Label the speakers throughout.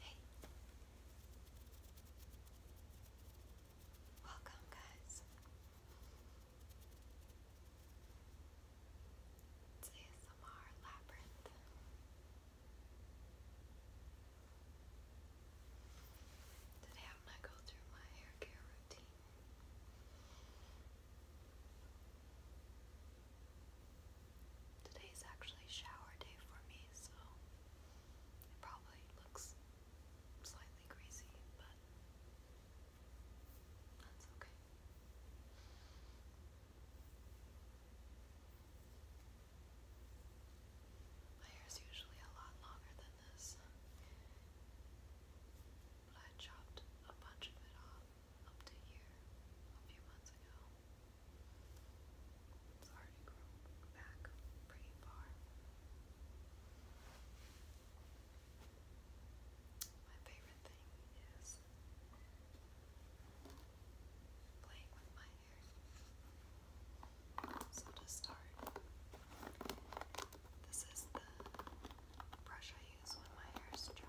Speaker 1: Hey. Welcome, guys. ASMR Labyrinth. Today I'm going to go through my hair care routine. Today is actually shower day for me, so it probably looks slightly greasy, but that's okay. My hair's usually a lot longer than this, but I chopped a bunch of it off up to here a few months ago. It's already My favorite thing is playing with my hair. So to start, this is the brush I use when my hair is dry.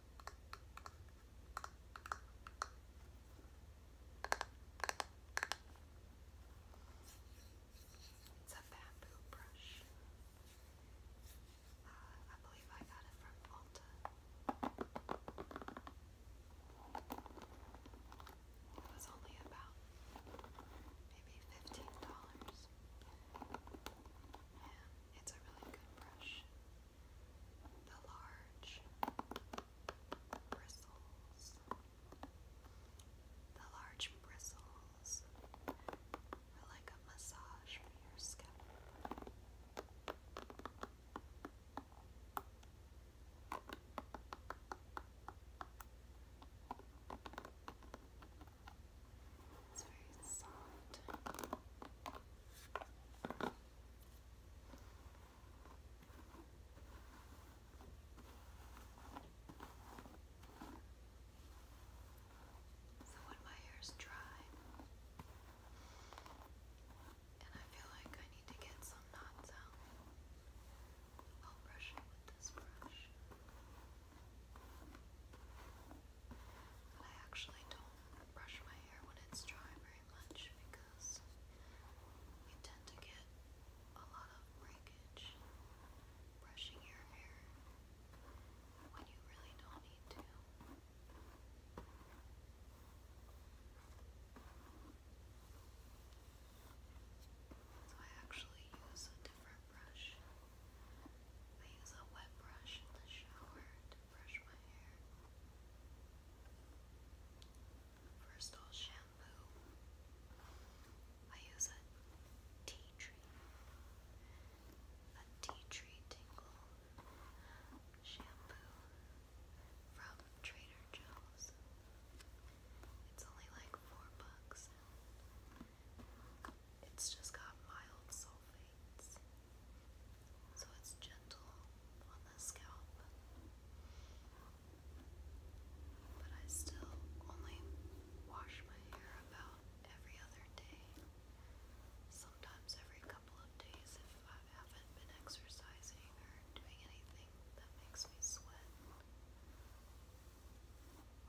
Speaker 1: It's a bamboo brush. Uh, I believe I got it from Alta. It was only about maybe $15. And it's a really good brush the large bristles, the large bristles are like a massage for your scalp. It's very soft. So when my hair is dry, and I feel like I need to get some knots out, I'll brush it with this brush. I actually don't brush my hair when it's dry very much because you tend to get a lot of breakage brushing your hair when you really don't need to. So I actually use a different brush. I use a wet brush in the shower brush my hair. First, I'll shampoo. I use a tea tree. A tea tree tingle shampoo from Trader Joe's. It's only like four bucks. It's just got mild sulfates so it's gentle on the scalp, but I still only wash my hair about every other day, sometimes every couple of days if I haven't been exercising or doing anything that makes me sweat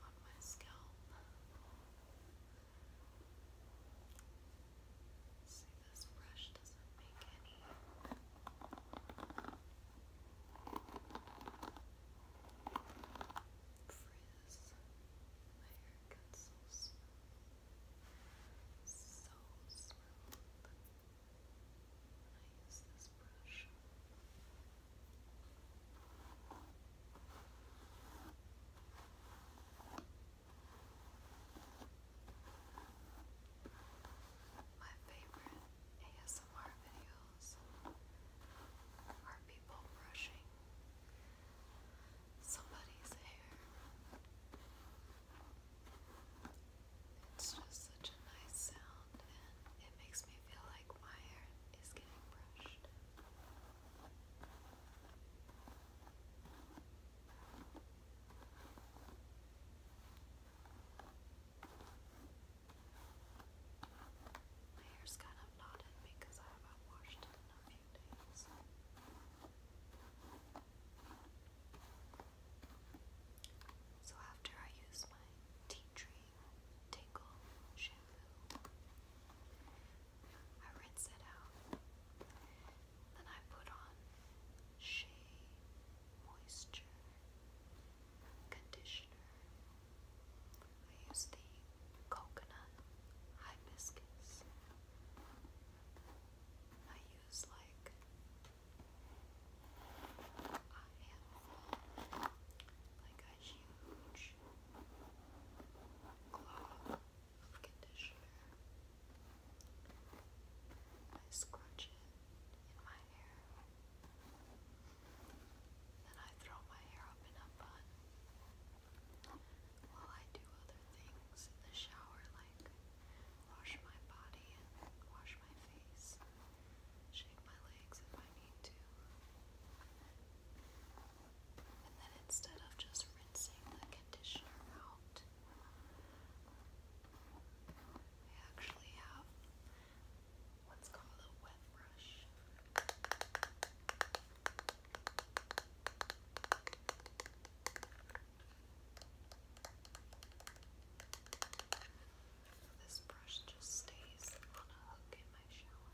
Speaker 1: on my scalp. See, this brush doesn't make any. Frizz. My hair gets so smooth. When I use this brush. My favorite ASMR videos are people brushing somebody's hair. It's just such a nice sound and it makes me feel like my hair is getting brushed. My hair's kind of knotted because I haven't washed it in a few days. So after I use my tea tree tingle shampoo, I rinse it out. Then I put on Shea Moisture Conditioner. I use the Coconut Hibiscus. I use like a huge cloth conditioner. I scrunch it in my hair. Then I throw my hair up in a bun while I do other things in the shower, like wash my body and wash my face, shake my legs if I need to. And then instead of just rinsing the conditioner out, I actually have what's called a wet brush. This brush just stays on a hook in my shower.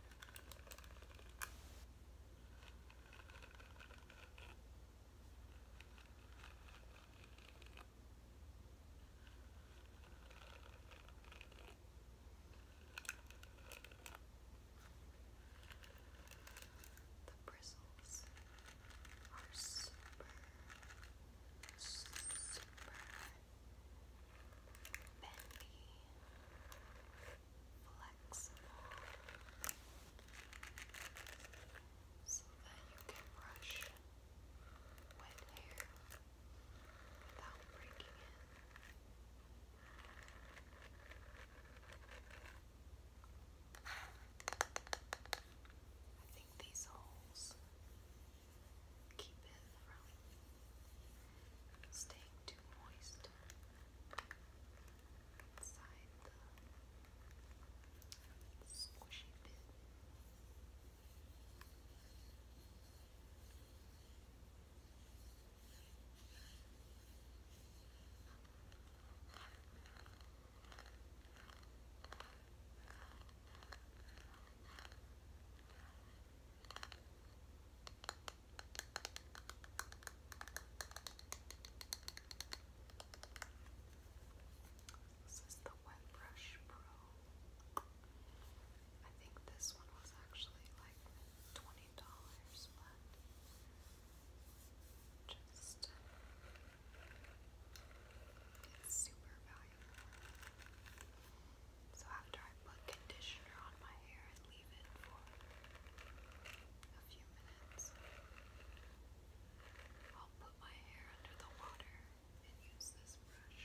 Speaker 1: The bristles are super, super bendy flexible so that you can brush wet hair without breaking it. I think these holes keep it from staying too moist inside the squishy bit. All this is the Wet Brush Pro. I think this one was actually like twenty dollars, but just uh, it's super valuable. So after I put conditioner on my hair and leave it for a minutes. I'll put my hair under the water and use this brush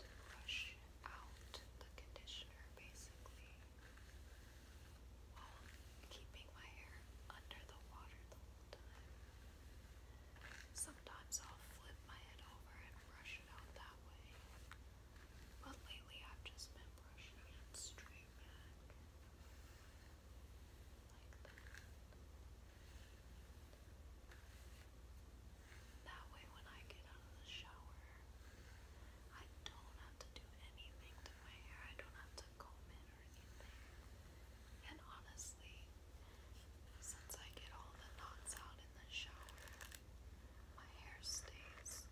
Speaker 1: to brush out the conditioner basically while keeping my hair under the water the whole time. Sometimes I'll flip my head over and brush it out that way. But lately I've just been brushing it straight back. That way when I get out of the shower, I don't have to do anything to my hair. I don't have to comb it or anything. And honestly, since I get all the knots out in the shower, my hair stays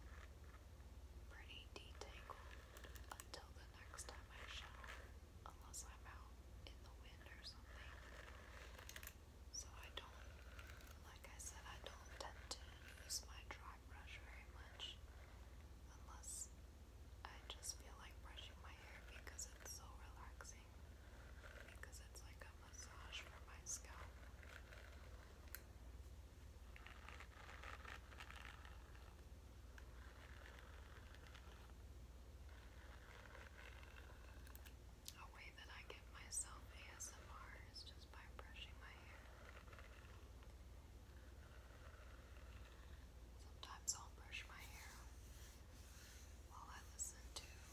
Speaker 1: pretty detangled until the next time I shower, unless I'm out in the wind or something. So I don't, like I said, I don't tend to use my dry brush very much unless I just feel like brushing my hair because it's so relaxing because it's like a massage for my scalp. A way that I give myself ASMR is just by brushing my hair. Sometimes I'll brush my hair while I listen to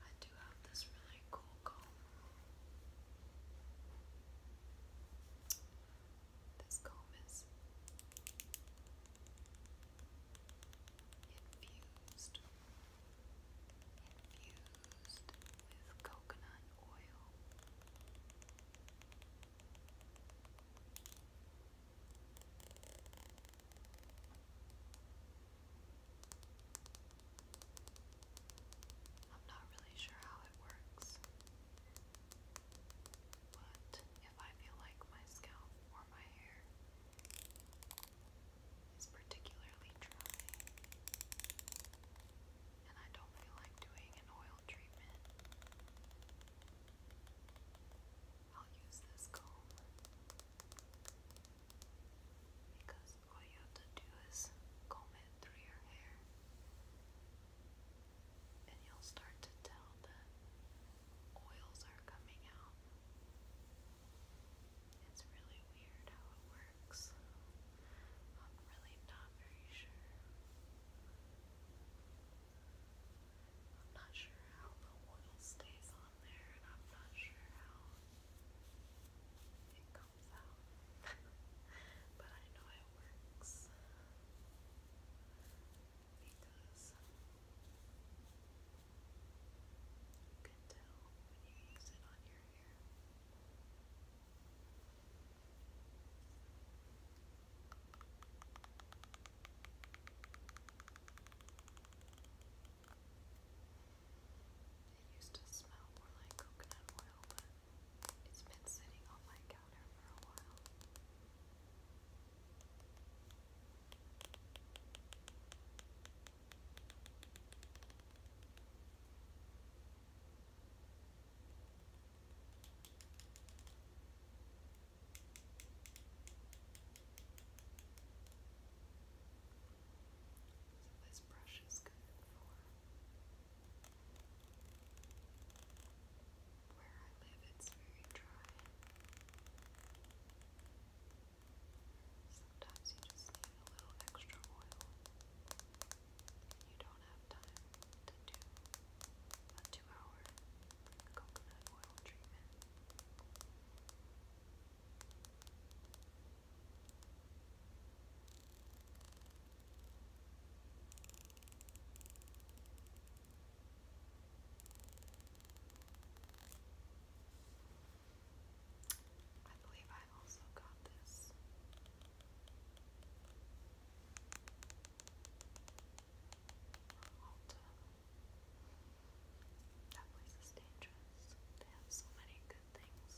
Speaker 1: I do have this really cool comb. This comb is infused, infused with coconut oil. I'm not really sure how it works, but if I feel like my scalp or my hair is particularly dry and I don't feel like doing an oil treatment, I'll use this comb. Because all you have to do is comb it through your hair, and you'll start to tell that oils are coming out. It's really weird how it works. I'm really not very sure. I'm not sure how the oil stays on there, and I'm not sure how thumbs but I know it works because you can tell when you use it on your hair. It used to smell more like coconut oil, but it's been sitting on my counter for a while. So this brush is good for where I live, it's very dry. Sometimes you just need a little extra oil you don't have time to do a two hour coconut oil treatment. I believe I also got this. That place is damn dress. They have so many good things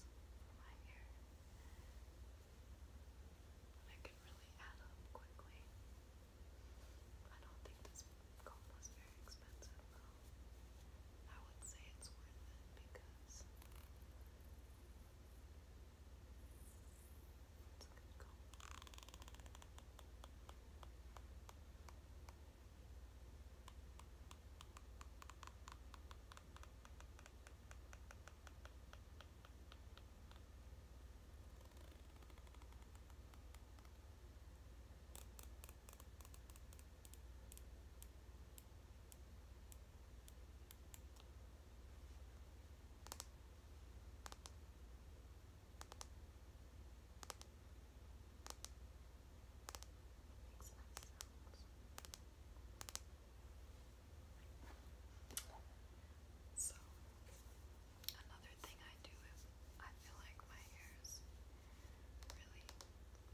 Speaker 1: for my hair. I can really add up quickly. I don't think this comb was very expensive I would say it's worth it because it's a good comb. Makes my sounds. So, another thing I do I feel like my hair is really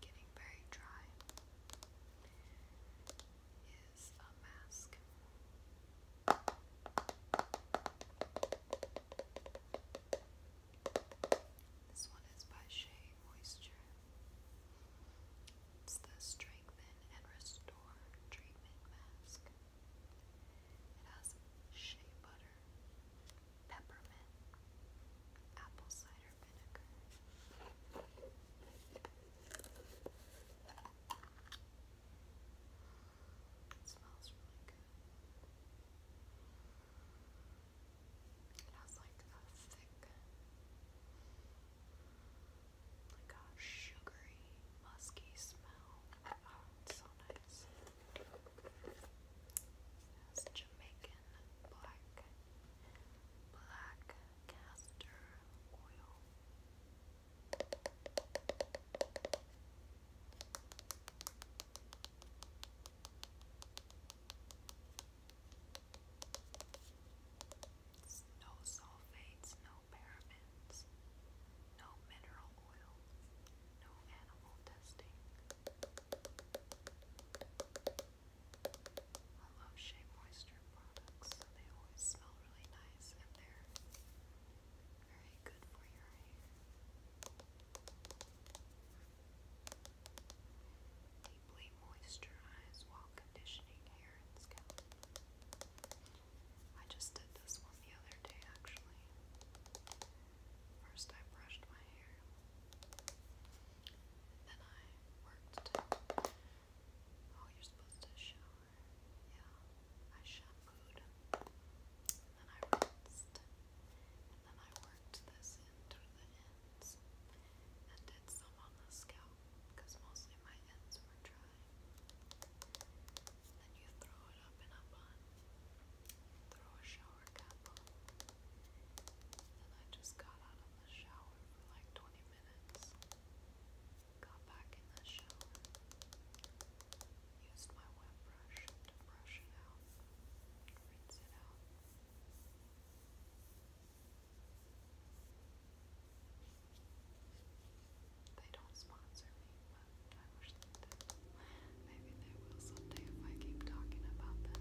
Speaker 1: getting very dry is a mask. This one is by Shea Moisture. It's the Strengthen and Restore Treatment Mask. It has shea butter, peppermint, apple cider vinegar. It smells really good. It has like a thick, like a sugary, musky smell. Oh, it has Jamaican black, black castor oil. It's no sulfates, no parabens, no mineral oil, no animal testing. I love Shea Moisture products, they always smell really nice and they're very good for your hair deeply moisturize while conditioning hair and scalp. I just did this one the other day actually. First I brushed my hair, then I worked Oh, you're supposed to shower. Yeah. I shampooed. then I rinsed. And then I worked this in toward the end ends and did some on the scalp because mostly my ends were dry. Then you throw it up and up on, throw a shower cap on. Then I just got out of the shower for like 20 minutes, got back in the shower, used my wet brush to brush it out, rinse it out. They don't sponsor me, but I wish they did. Maybe they will someday if I keep talking about them.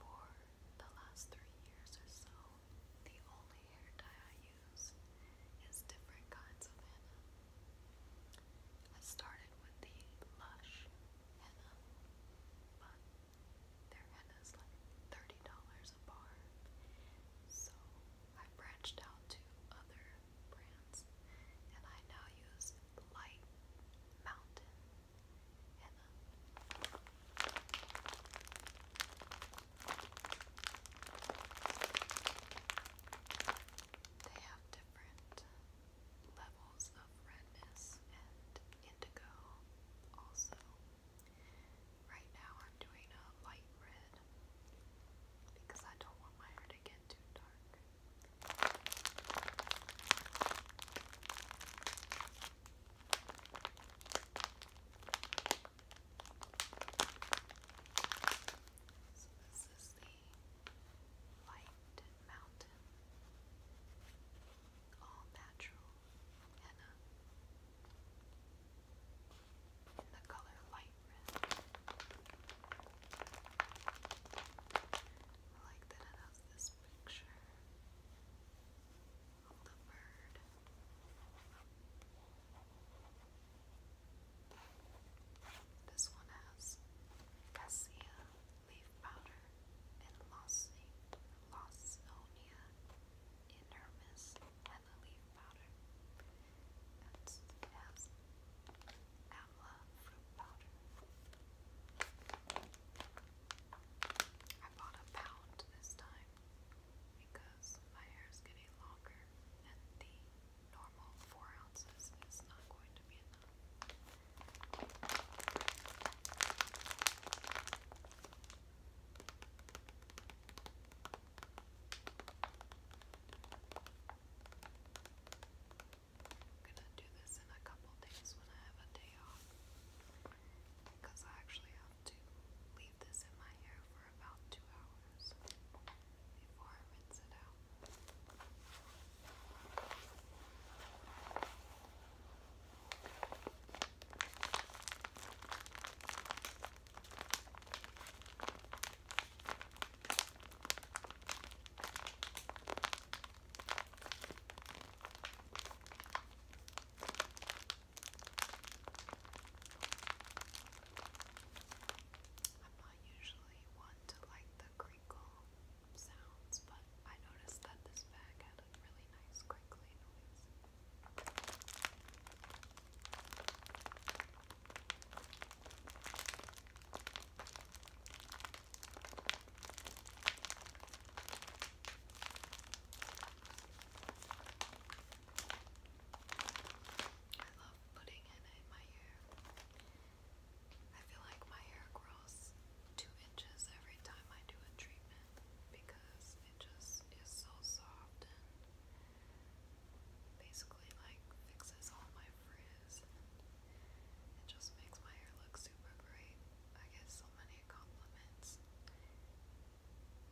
Speaker 1: For the last three years or so, the only hair dye I use is different kinds of henna. I started with the Lush henna, but their henna is like $30 a bar, so I branched out to other brands and I now use Light Mountain they have different levels of redness and indigo also. Right now I'm doing a light red because I don't want my hair to get too dark. So this is the White Mountain All Natural Henna in the color light red. I like that it has this picture of This one has cassia leaf powder and lawsonia in hermes leaf powder. And it has amla fruit I bought a pound this time because my hair is getting longer and the normal four ounces is not going to be enough. I'm gonna do this in a couple days when I have a day off. Because I actually have to leave this in my hair for about two hours before I rinse it out. I'm not usually one to like the crinkle sounds, but I noticed that this bag had a really nice crinkly noise. I love putting it in my hair. I feel like my hair grows two inches every time I do a treatment because it just is so soft and basically like fixes all my frizz. It just makes my hair look super great. I get so many compliments.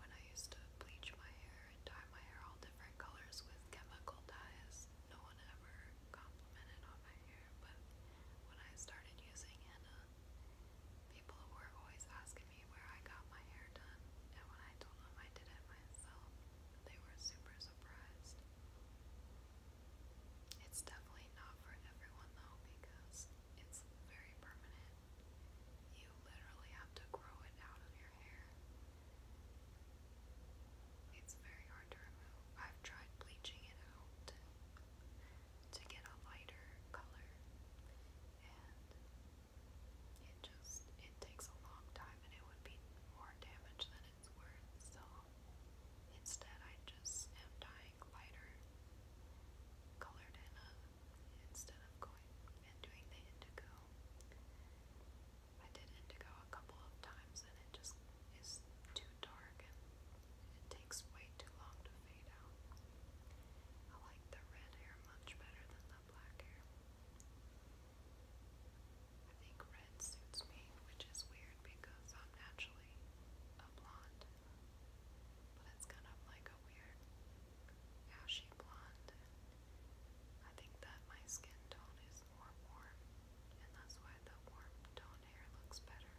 Speaker 1: When I used to bleach my hair and dye my hair all different colors with chemical dyes, no one ever complimented on my hair, but when I started using henna, people were always asking me where I got my hair done, and when I told them I did it myself, they were super surprised. It's definitely not for everyone though because it's very permanent. You literally have to grow it out of your hair. It's very hard to remove. I've tried bleaching it out to get a lighter color and it just it takes a long time and it would be more damage than its worth, so instead I just am dyeing lighter colored henna instead of going and doing the indigo. I did indigo a couple of times and it just is too dark and it takes way too long to fade out. I like the red hair much better than the black hair. I think red suits me, which is weird because I'm naturally actually a blonde, but it's kind of like a weird ashy blonde. I think that my skin tone is more warm, and that's why the warm tone hair looks better.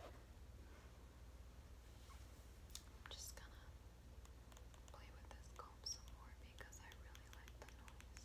Speaker 1: I'm just gonna play with this comb some more because I really like the noise.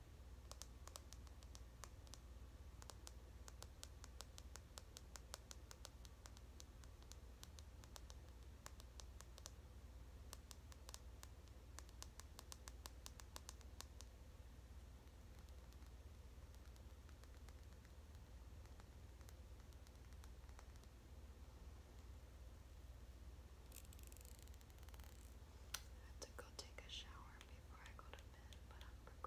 Speaker 1: I have to go take a shower before I go to happen, but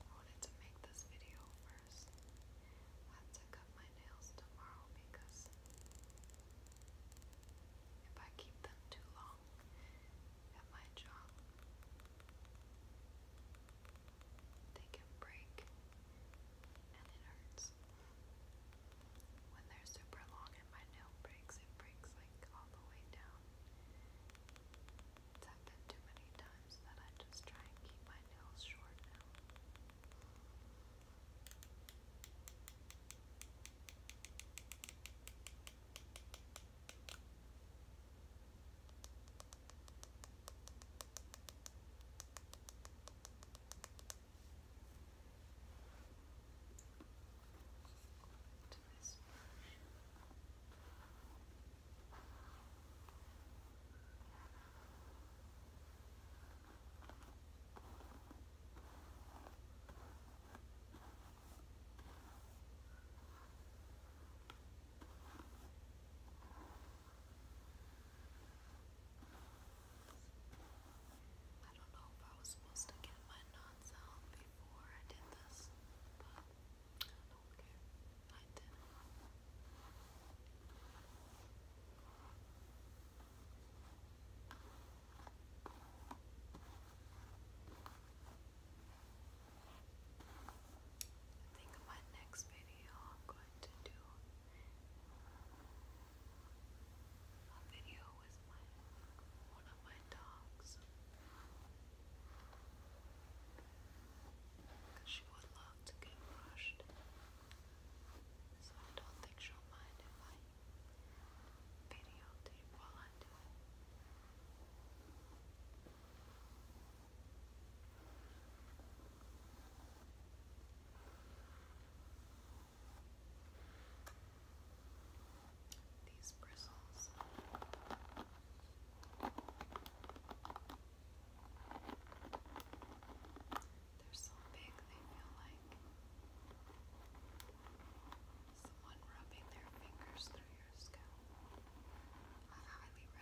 Speaker 1: I wanted to make this video first. I have to cut my nails tomorrow because if I keep them too long at my job, they can break and it hurts. When they're super long and my nail breaks, it breaks like all the way down. It's happened too many times that I just try and keep my nails short now to this brush. Just I don't know if I was supposed to get my knots out before I did this, but I did. I think my next video I'm going to do a video with one of my dogs because she would love to get brushed so I don't think she'll mind if I videotape while I do these bristles. They're so big they feel like someone rubbing their fingers through your scalp. I highly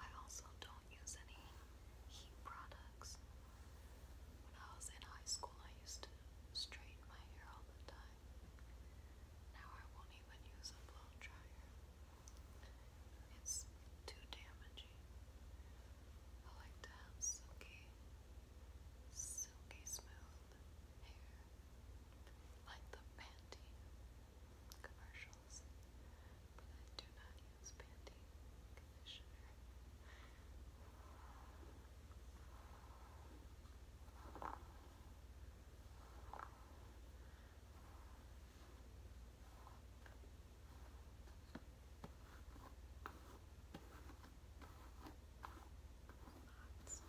Speaker 1: I also don't use any heat products. When I was in high school, I used to straighten my hair all the time. Now I won't even use a blow dryer. It's too damaging. I like to have silky, silky smooth hair, like the Pantene commercials do not use Pantene conditioner. Lots. Lots of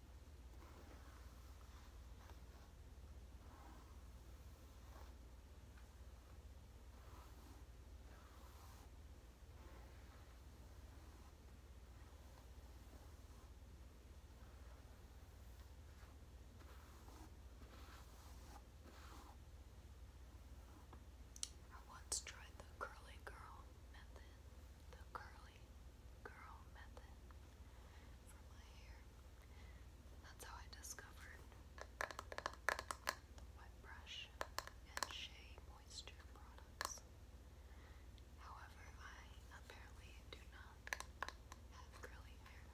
Speaker 1: I once tried the curly girl method. The curly girl method. That's how I discovered Wet Brush and Shea Moisture products. However, I apparently do not have curly hair.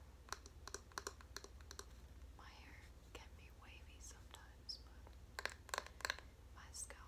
Speaker 1: My hair can be wavy sometimes, but my scalp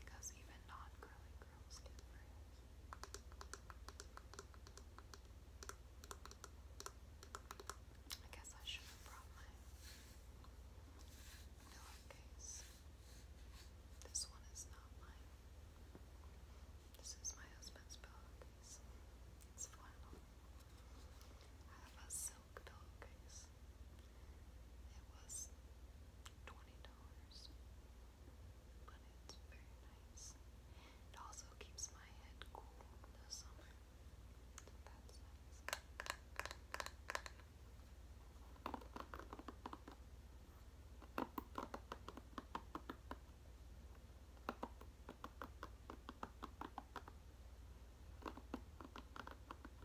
Speaker 1: Because even non curly girls get I guess I should have brought my pillowcase. This one is not mine. This is my husband's pillowcase. It's flannel. I have a silk Dog Doggies. It was twenty dollars, but it's very nice. It also keeps my head cool in the summer. that's nice.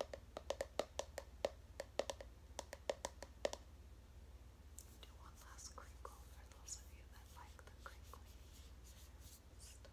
Speaker 1: Do one last crinkle for those of you that like the crinkly stuff.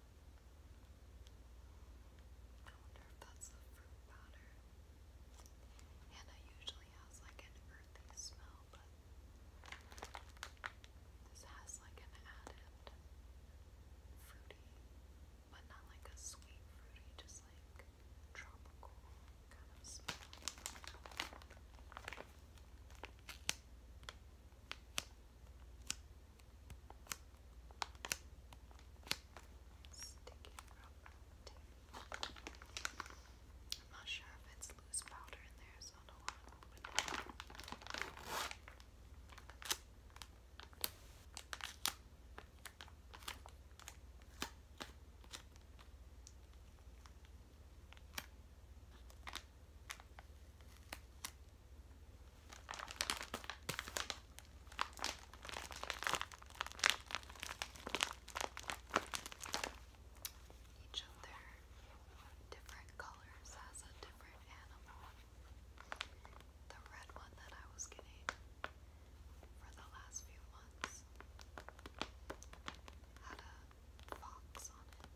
Speaker 1: I wonder if that's the fruit powder. Hannah usually has like an earthy smell, but this has like an added fruity, but not like a sweet fruity, just like tropical kind of smell. Sticky rubber I'm not sure if it's loose powder in there, so I don't want to each of their different colors has a different animal. The red one that I was getting for the last few months had a fox on it.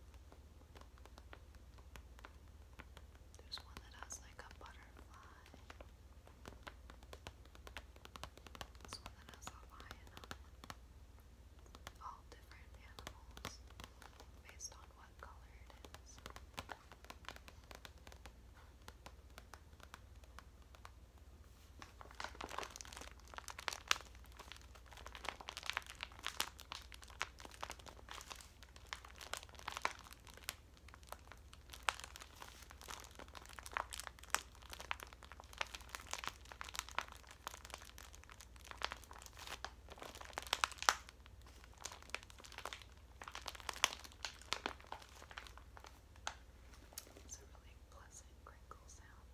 Speaker 1: There's one that has like a butterfly. This one that has a lion All different animals based on what color it is. It's a really pleasant crinkle sound.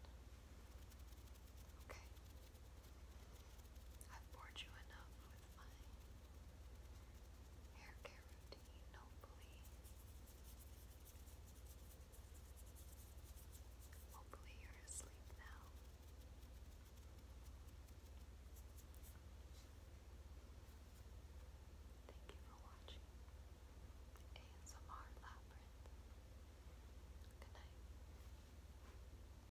Speaker 1: Okay. I've bored you enough with my hair care routine, hopefully. Hopefully you're asleep now. Thank you for watching ASMR Labyrinth. Good night.